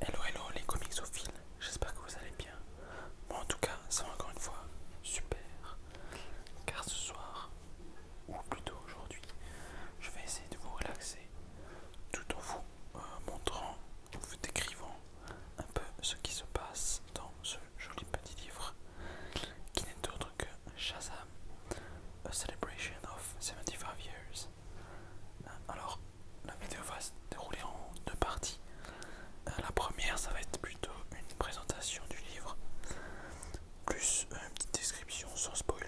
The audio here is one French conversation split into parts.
Hello hello les comixophiles, j'espère que vous allez bien. Moi en tout cas, ça va encore une fois super. Car ce soir, ou plutôt aujourd'hui, je vais essayer de vous relaxer tout en vous euh, montrant, en vous décrivant un peu ce qui se passe dans ce joli petit livre qui n'est d'autre que Shazam, A Celebration of 75 Years. Euh, alors, la vidéo va se dérouler en deux parties. Euh, la première, ça va être plutôt une présentation du livre, plus une petite description sans spoiler.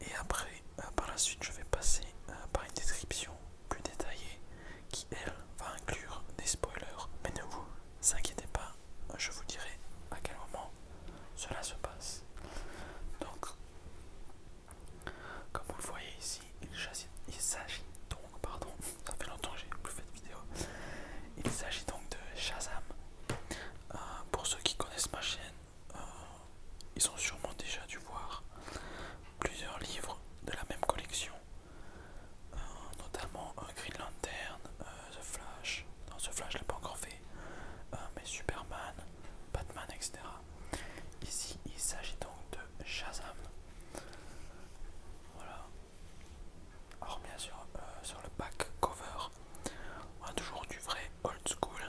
Et après, euh, par la suite, je vais passer par une description plus détaillée qui, elle, va inclure des spoilers. Mais ne vous inquiétez pas, euh, je vous dirai à quel moment cela se passe. Donc, comme vous le voyez ici, il s'agit donc, pardon, ça fait longtemps que j'ai plus fait de vidéo, il s'agit donc de Shazam. Euh, pour ceux qui connaissent ma chaîne, euh, ils ont sûrement déjà dû voir plusieurs livres de la même collection, notamment un Green Lantern, euh, The Flash. Non, The Flash, je l'ai pas encore fait. Euh, mais Superman, Batman, etc. Ici, il s'agit donc de Shazam. Voilà. Alors bien sûr, euh, sur le back cover, on a toujours du vrai old school.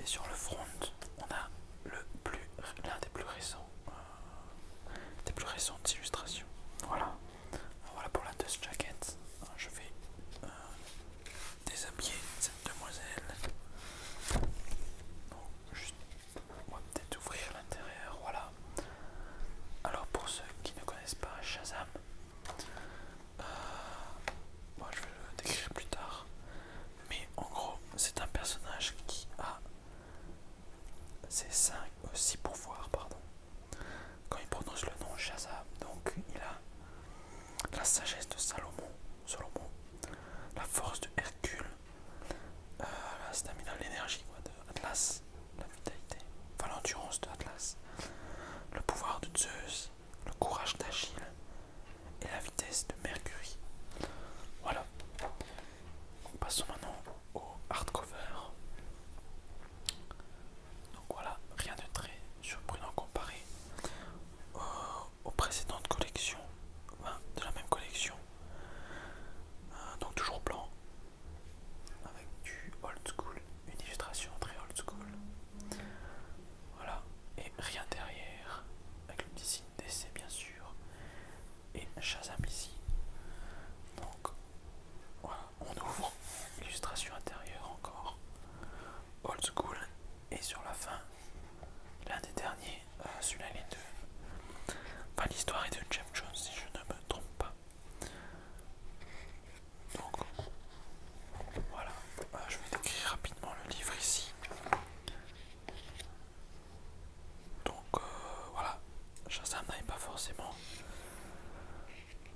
Et sur le front, on a le plus l'un des plus récents, des plus récentes illustrations. Voilà. Voilà pour la dust jacket. Je vais euh, déshabiller cette demoiselle. on va peut-être ouvrir l'intérieur. Voilà. Alors pour ceux qui ne connaissent pas Shazam, euh, je vais le décrire plus tard. Mais en gros, c'est un personnage qui a ses 5 ou 6 pouvoirs, pardon. Quand il prononce le nom Shazam, donc il a la sagesse de Salomon, Salomon la force de Hercule, euh, la stamina, l'énergie de Atlas, la vitalité, enfin l'endurance de Atlas, le pouvoir de Zeus, le courage d'Achille et la vitesse de Mercury. Voilà. Passons maintenant au hardcover. Donc voilà, rien de très surprenant comparé aux, précédentes collections, de la même collection. Euh, donc toujours blanc, avec du old school, une illustration très old school. Voilà, et rien derrière, avec le petit signe d'essai bien sûr, et Shazam ici. Donc voilà, on ouvre illustration intérieure encore. Old School et sur la fin, l'un des derniers, euh, celui-là il est de... l'histoire est de Jeff Jones si je ne me trompe pas. Donc, voilà, euh, je vais décrire rapidement le livre ici. Donc, euh, voilà, Shazam n'avait pas forcément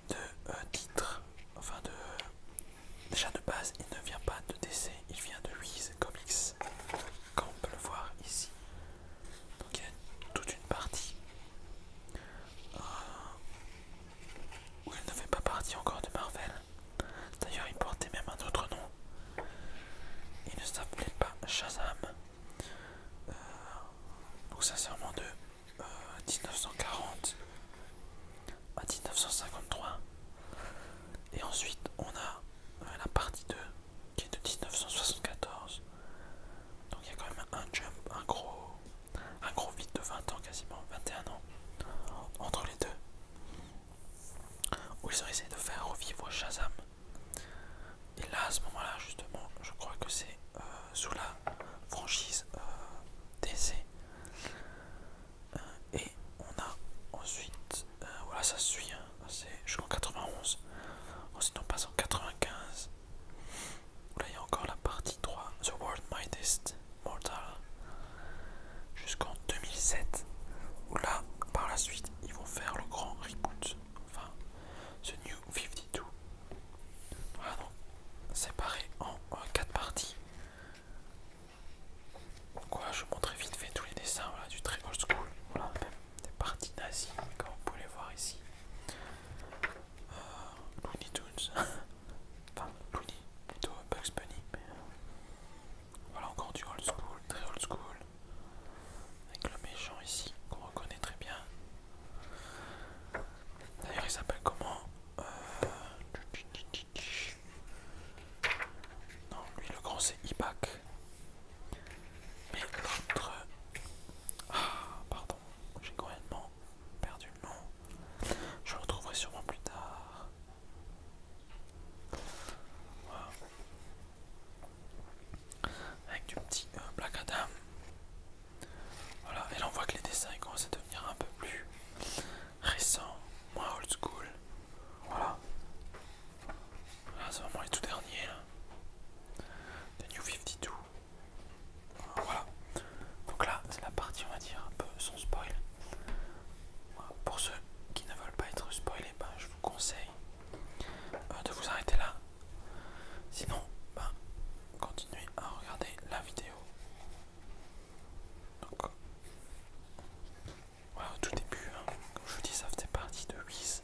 de euh, titre, enfin de... Déjà de base, il ne vient pas de DC, il vient de Wiz Comics, comme on peut le voir ici. Donc il y a toute une partie euh, où il ne fait pas partie encore de Marvel. D'ailleurs, il portait même un autre nom. Il ne s'appelait pas Shazam. Euh, donc vraiment de 1940 euh, à 1953. Et ensuite on a euh, la partie 2 qui est de 1974. Donc il y a quand même un jump, un gros, un gros vide de 20 ans quasiment, 21 ans entre les deux. Où ils ont essayé de faire revivre Shazam. Et là, à ce moment-là, justement, je crois que c'est euh, sous la franchise euh, DC. Euh, et on a ensuite, voilà, ça suit, hein. C'est jusqu'en 91. Ensuite, on passe en 95. Là, il y a encore la partie 3, The World Mightiest Mortal, jusqu'en 2007. Où là, par la suite, ils vont faire le grand reboot, enfin, ce New 52. voilà donc séparé en 4 parties. Quoi, je vous très vite fait tous les dessins du très old school. Voilà, même des parties nazies, comme vous pouvez les voir ici. Euh, Looney Tunes. enfin, Looney, plutôt Bugs Bunny. Euh, voilà encore du old school, très old school. Avec le méchant ici, qu'on reconnaît très bien. D'ailleurs, il s'appelle comment euh, Non, lui, le grand, c'est Ipac. Mais l'autre. Ah, pardon, j'ai complètement perdu le nom. Je le retrouverai sûrement plus tard avec du petit euh, Black Adam. Voilà, et là on voit que les dessins commencent à devenir un peu plus récents, moins old school. Voilà. c'est vraiment les tout derniers The hein. New 52. Voilà. Donc là, c'est la partie on va dire un peu sans spoil. Pour ceux qui ne veulent pas être spoilés, ben, je vous conseille euh, de vous arrêter là. Sinon, ben, continuez à regarder la vidéo. Donc, euh, au tout début, hein, comme je vous dis, ça faisait partie de Wiz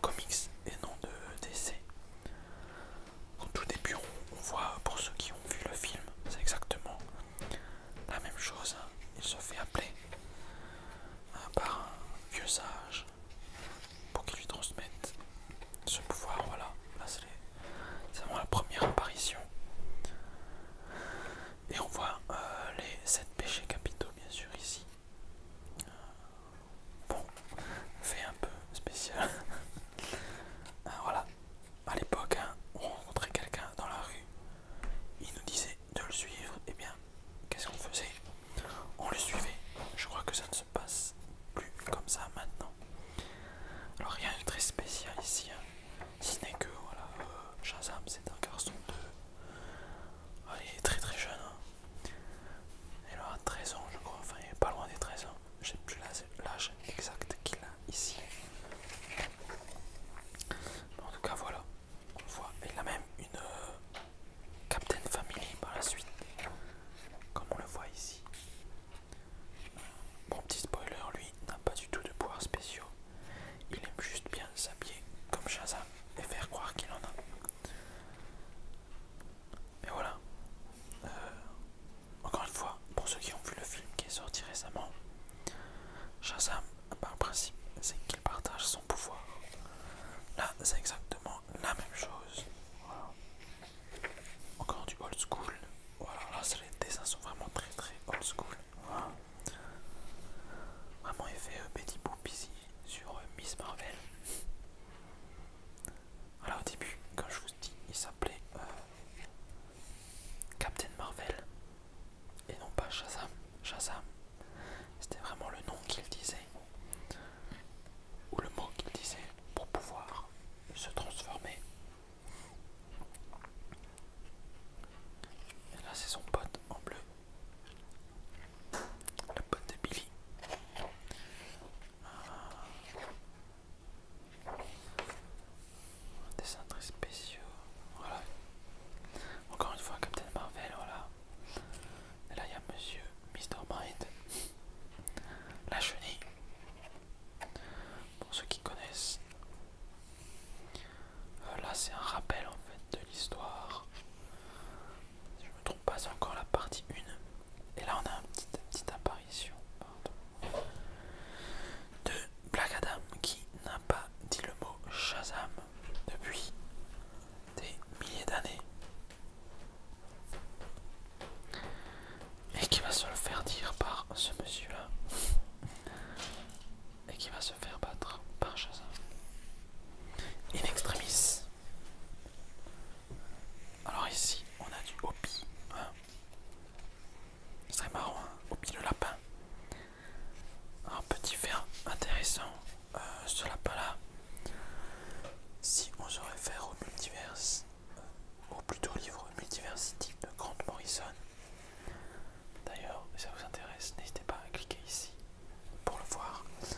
Comics et non de DC. Au tout début, on, voit, pour ceux qui ont vu le film, c'est exactement la même chose. Hein. Il se fait appeler hein, par un vieux sage pour qu'il lui transmette ce pouvoir. Voilà, c'est vraiment la première apparition. Et on voit euh, les sept péchés capitaux, bien sûr, ici. Euh, bon, fait un peu spécial. Euh, voilà, à l'époque, hein, on rencontrait quelqu'un dans la rue, il nous disait de le suivre, et eh bien, qu'est-ce qu'on faisait on le suivait. Je crois que ça ne se passe plus comme ça maintenant. Alors rien de très spécial ici, hein. ce n'est que voilà, euh, Shazam c'est un garçon de... il est très très jeune. Hein. Il aura 13 ans je crois, enfin il est pas loin des 13 ans. Je sais plus l'âge exact qu'il a ici. En tout cas voilà, on voit, il a même une... Euh, Captain Family par la suite, comme on le voit ici. Bon, petit spoiler, lui, n'a pas du tout de pouvoirs spéciaux. Il aime juste bien s'habiller comme Shazam et faire croire qu'il en a. Mais voilà. Euh, encore une fois, pour ceux qui ont vu le film qui est sorti récemment, Shazam, par principe, c'est qu'il partage son pouvoir. Là, c'est exactement la même chose. Encore du old school. Voilà, là les dessins sont vraiment très très old school. Vraiment effet fait euh, Betty Boop ici sur euh, Miss Marvel. Alors au début, quand je vous dis, il s'appelait euh, Captain Marvel et non pas Shazam. Shazam c'était vraiment le nom qu'il disait, ou le mot qu'il disait, pour pouvoir se transformer. Et là, c'est son pote en bleu. Le pote de Billy. Un Dessin très spécial Voilà. Encore une fois, Captain Marvel, voilà. Et là, il y a Monsieur Mr. Bright, la chenille. Pour ceux qui connaissent, euh, là c'est un rappel en fait de l'histoire. Si je me trompe pas, c'est encore la partie 1. Et là on a une petite, petite apparition de Black Adam qui n'a pas dit le mot Shazam depuis des milliers d'années et qui va se le faire dire par ce monsieur là et qui va se faire battre par chazin in extremis alors ici on a du Hopi hein marrant hein. Hopi le lapin un petit fer intéressant euh, ce lapin-là, si on se réfère au multivers, ou euh, plutôt au livre Multiversity de Grant Morrison, d'ailleurs, si ça vous intéresse, n'hésitez pas à cliquer ici pour le voir. Et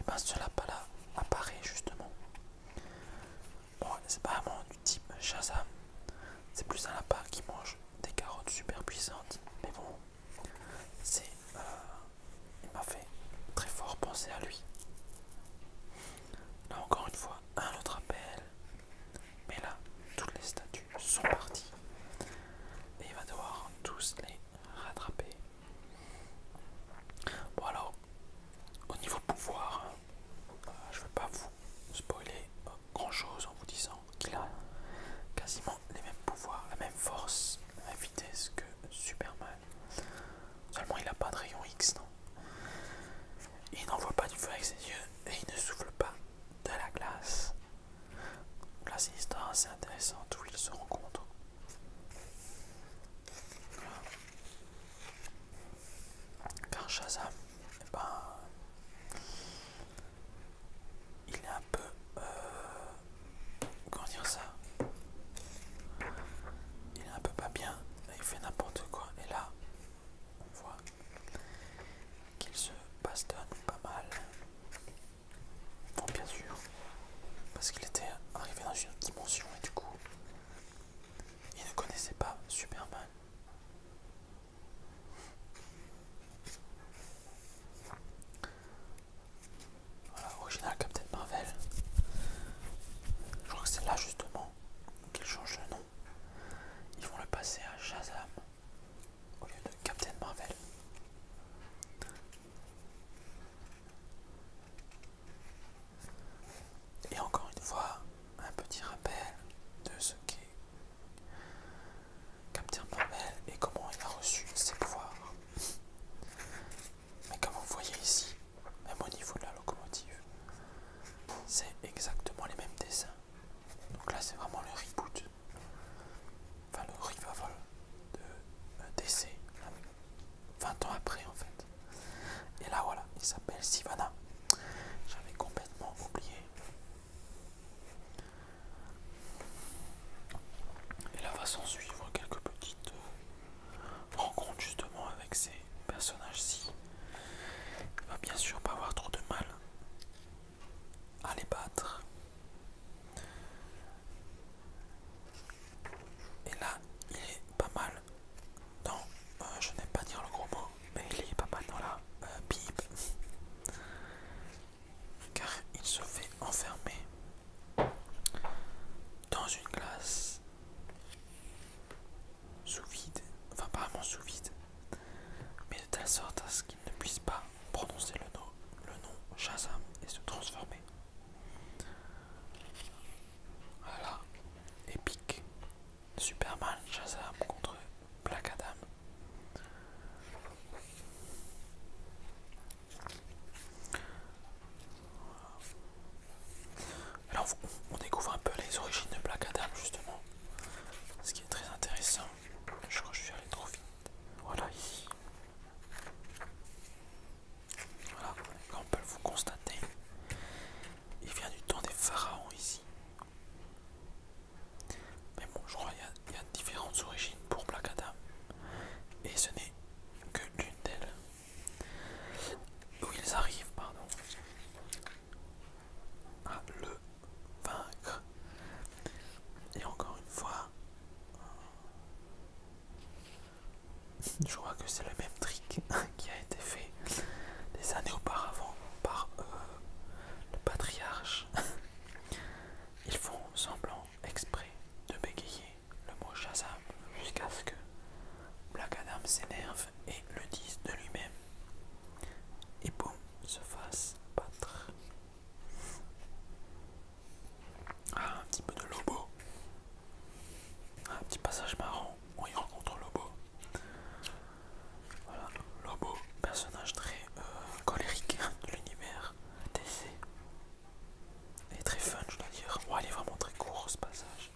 eh bien, ce lapin-là apparaît justement. Bon, c'est pas vraiment du type Shazam, c'est plus un lapin qui mange des carottes super puissantes, mais bon, c'est euh, il m'a fait très fort penser à lui. Là encore une fois, un autre appel. Mais là, toutes les statues sont parties. Et il va devoir tous les rattraper. Bon alors, au niveau pouvoir, hein, euh, je vais pas vous spoiler grand chose en vous disant qu'il a quasiment les mêmes pouvoirs, la même force, la même vitesse que Superman. Seulement il n'a pas de rayon X, non Il n'envoie pas du feu avec ses yeux et il ne souffle pas de la glace. Donc là c'est une histoire assez intéressante où ils se rencontrent. Car Shazam, eh ben, il a peu... Euh, comment dire ça Il est un peu pas bien, il fait n'importe quoi. Et là, on voit qu'il se bastonne pas mal. Bon, bien sûr, parce qu'il était arrivé dans une autre dimension et du coup, il ne connaissait pas Superman. Voilà, original Captain Marvel. Je crois que c'est là justement qu'ils changent le nom. Ils vont le passer à Shazam au lieu de Captain Marvel. Et encore une fois, un petit rappel de ce qu'est Captain Marvel et comment il a reçu ses pouvoirs. Mais comme vous voyez ici, même au niveau de la locomotive, c'est exactement les mêmes dessins. Donc là c'est vraiment le reboot, enfin le revival de euh, DC, 20 ans après en fait. Et là voilà, il s'appelle Sivana. J'avais complètement oublié. Et là va s'en suivre quelques petites euh, rencontres justement avec ces personnages-ci. Il va bien sûr pas avoir trop de mal à les battre. Et là, il est pas mal dans, euh, je n'aime pas dire le gros mot, mais il est pas mal dans la Bible. Euh, car il se fait enfermer dans une glace sous vide, enfin apparemment sous vide, mais de telle sorte à ce qu'il ne puisse pas prononcer le nom, le nom Shazam et se transformer. Voilà, épique. Superman Shazam contre Black Adam. Alors on, découvre un peu les origines de Black Adam justement, ce qui est très intéressant. Je crois que je suis allé trop vite. Voilà ici. Voilà, comme on peut vous constater, il vient du temps des pharaons ici. Mais bon, je crois qu'il y, y a différentes origines pour Black Adam et ce n'est que l'une d'elles où ils arrivent pardon, à ah, le vaincre et encore une fois je crois que c'est le même trick qui a été fait des années auparavant par euh, le patriarche ils font semblant exprès de bégayer le mot Shazam jusqu'à ce que Black Adam s'énerve et le dise de lui-même. Et boum, se fasse battre. Ah, un petit peu de Lobo. Un petit passage marrant, on y rencontre Lobo. Voilà, Lobo, personnage très euh, colérique de l'univers TC est très fun, je dois dire. Ouais, il est vraiment très court ce passage.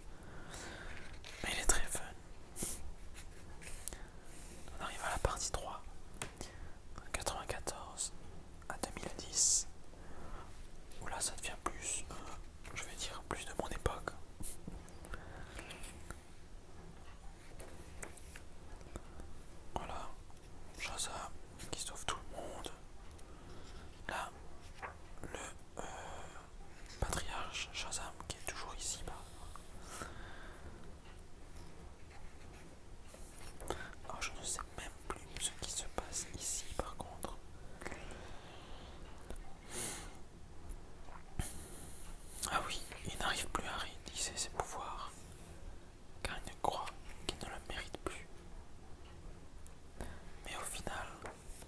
Mais il est très fun. On arrive à la partie 3. 94 à 2010. Oula, là ça devient plus, euh, je vais dire, plus de mon époque. Voilà, Shazam qui sauve tout le monde. Là, le euh, patriarche Shazam qui est toujours ici bas. Ah, je ne sais même plus ce qui se passe ici par contre. Ah oui, il n'arrive plus à réaliser ses pouvoirs car il ne croit qu'il ne le mérite plus. Mais au final,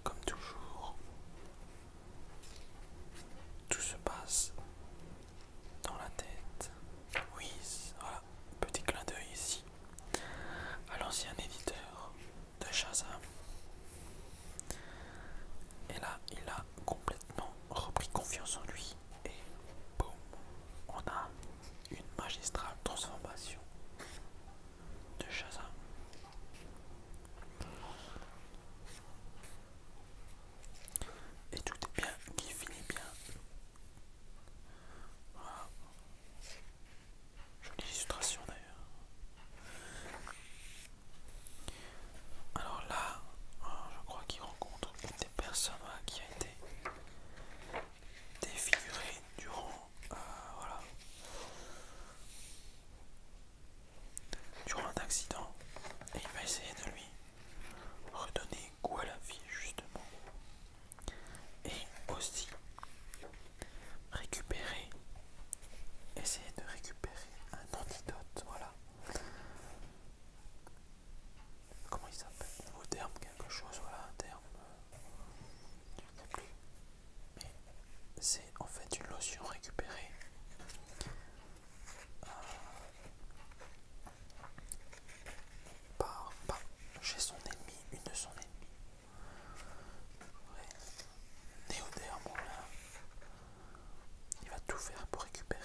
comme toujours, tout se passe dans la tête. Oui, voilà, petit clin d'œil ici à l'ancien éditeur de Shazam. Et là, il a complètement repris confiance en lui et boum, on a une magistrale transformation de Shazam. Et tout est bien, qui finit bien. Voilà. Jolie illustration d'ailleurs. Alors là, euh, je crois qu'il rencontre personne qui a été défiguré durant, euh, durant un accident et il va essayer de lui redonner goût à la vie justement et aussi récupérer essayer de récupérer un antidote voilà Comment il s'appelle au terme, quelque chose, voilà, un terme. plus. Mais c'est en fait une lotion récupérée. Euh, par, par, chez son ennemi, une de son ennemi. Ouais. Néoderme, là. Il va tout faire pour récupérer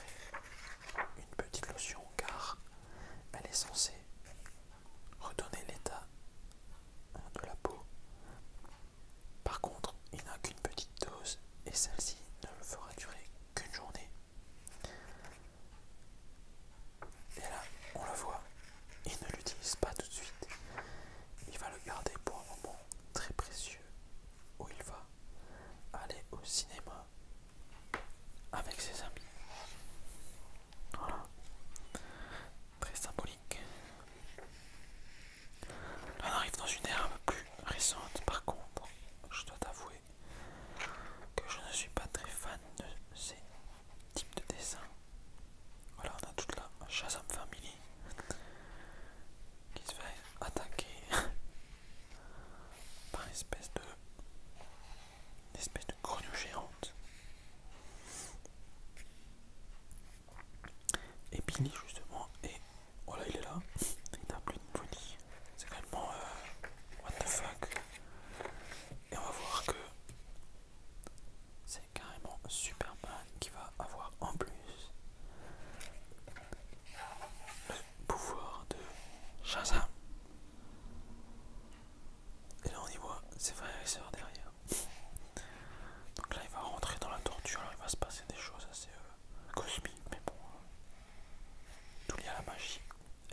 une petite lotion car elle est censée redonner l'état hein, de la peau. Par contre, il n'a qu'une petite dose et celle-ci ne le fera durer qu'une journée. Et là, on le voit, il ne l'utilise pas tout de suite. Il va le garder pour un moment très précieux où il va aller au cinéma avec ses amis. Voilà. Très symbolique. Là, on arrive dans une ère un peu plus récente, par contre, je dois t'avouer que je ne suis pas très fan de ces types de dessins. Voilà, on a toute la en Family qui se fait attaquer par espèce de espèce de grenouille géante. Et Billy justement et voilà oh il est là, il a plus de body, c'est carrément euh, what the fuck et on va voir que c'est carrément super mal qui va avoir en plus pouvoir de Shazam. Et là on y voit ses frères et sœurs derrière. Donc là il va rentrer dans la torture, il va se passer des choses assez euh, cosmiques, mais bon, hein. tout y a la magie.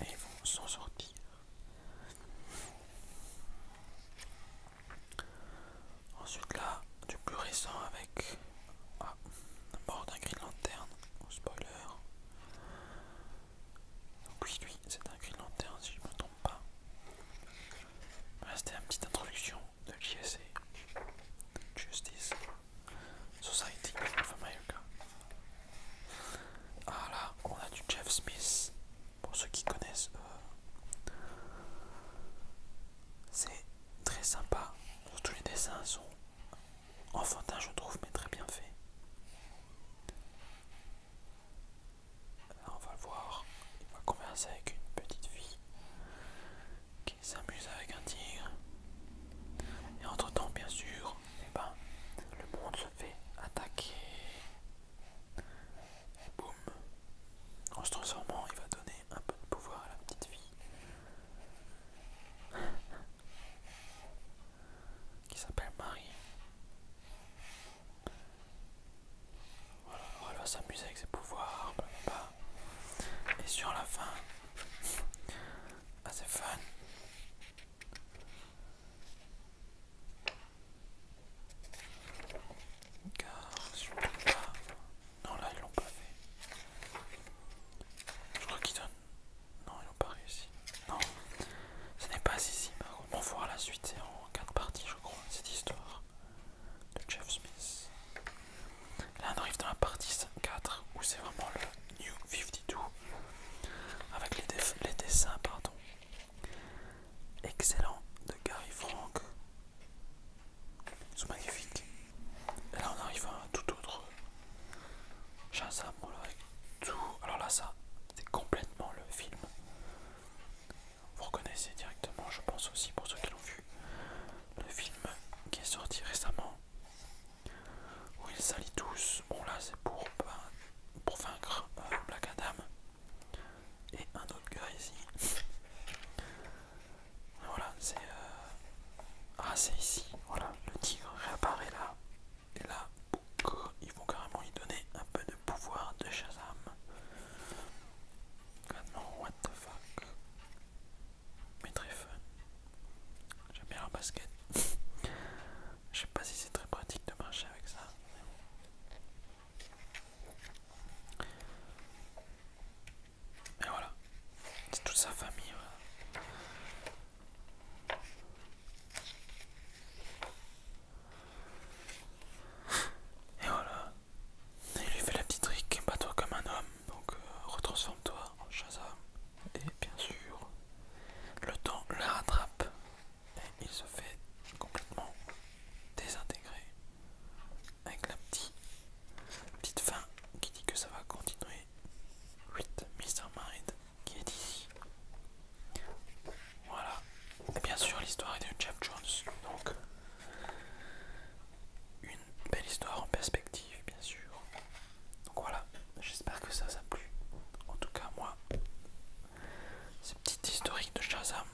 Et ils vont s'en sortir. Ensuite là, du plus récent avec d'abord d'un grille-lanterne au oh, spoiler. Oui, lui, c'est un de lanterne si je ne me trompe pas. c'était une petite introduction de c'est Justice Society of America. Ah là, on a du Jeff Smith, pour ceux qui connaissent. Euh, c'est très sympa, tous les dessins sont enfantin je trouve mais très bien fait. on va le voir, il va converser avec une petite fille qui s'amuse avec un tigre. Et entre temps bien sûr, eh ben, le monde se fait attaquer. Et boum. En se transformant, il va donner un peu de pouvoir à la petite fille qui s'appelle Marie. Voilà, elle va s'amuser avec ses pouvoirs, blablabla. Et sur la fin, assez fun. Car je non, là, ils l'ont pas fait. Je crois qu'ils donnent. Non, ils n'ont pas réussi. Non, ce n'est pas ici. On voir la suite, c'est en 4 parties, je crois, cette histoire de Jeff Smith. Là, on arrive dans la partie 4 où c'est vraiment le New 52 avec les, les dessins, pardon. Excellent de Gary Frank sont magnifiques. Et là on arrive à un tout autre Shazam, tout. Alors là ça, c'est complètement le film. Vous reconnaissez directement, je pense aussi pour ceux qui l'ont vu, le film qui est sorti récemment où ils s'allient tous. Bon là c'est pour, ben, vaincre euh, Black Adam et un autre gars ici. Voilà, euh, ah, c'est... ici. Voilà, le tigre réapparaît là. Et là, ils vont carrément lui donner un peu de pouvoir de Shazam. Maintenant, what the fuck. Mais très fun. J'aime bien la basket. Je sais pas si c'est très pratique de marcher avec ça. Et voilà, c'est toute sa famille. Et voilà, il lui fait la petite trick, bats-toi comme un homme, donc euh, retransforme-toi en Shazam. Et bien sûr, le temps la rattrape et il se fait complètement désintégrer avec la petite fin qui dit que ça va continuer 8 Mr Mind qui est ici. Voilà. Et bien sûr l'histoire est de Jeff Jones. Donc une belle histoire en perspective bien sûr. Donc voilà, j'espère que ça, ça a plu. En tout cas moi, ce petit historique de Shazam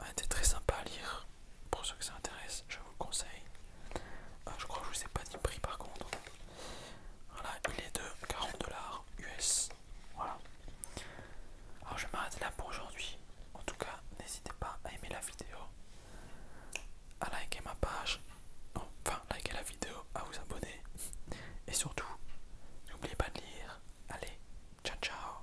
a été très sympa à lire. Pour ceux que ça intéresse, je vous le conseille. Euh, je crois que je ne vous ai pas dit prix par contre. Voilà, il est de 40 dollars US. Voilà. Alors je m'arrête là pour aujourd'hui. En tout cas, n'hésitez pas à aimer la vidéo, à liker ma page, enfin liker la vidéo, à vous abonner. Et surtout, n'oubliez pas de lire. Allez, ciao ciao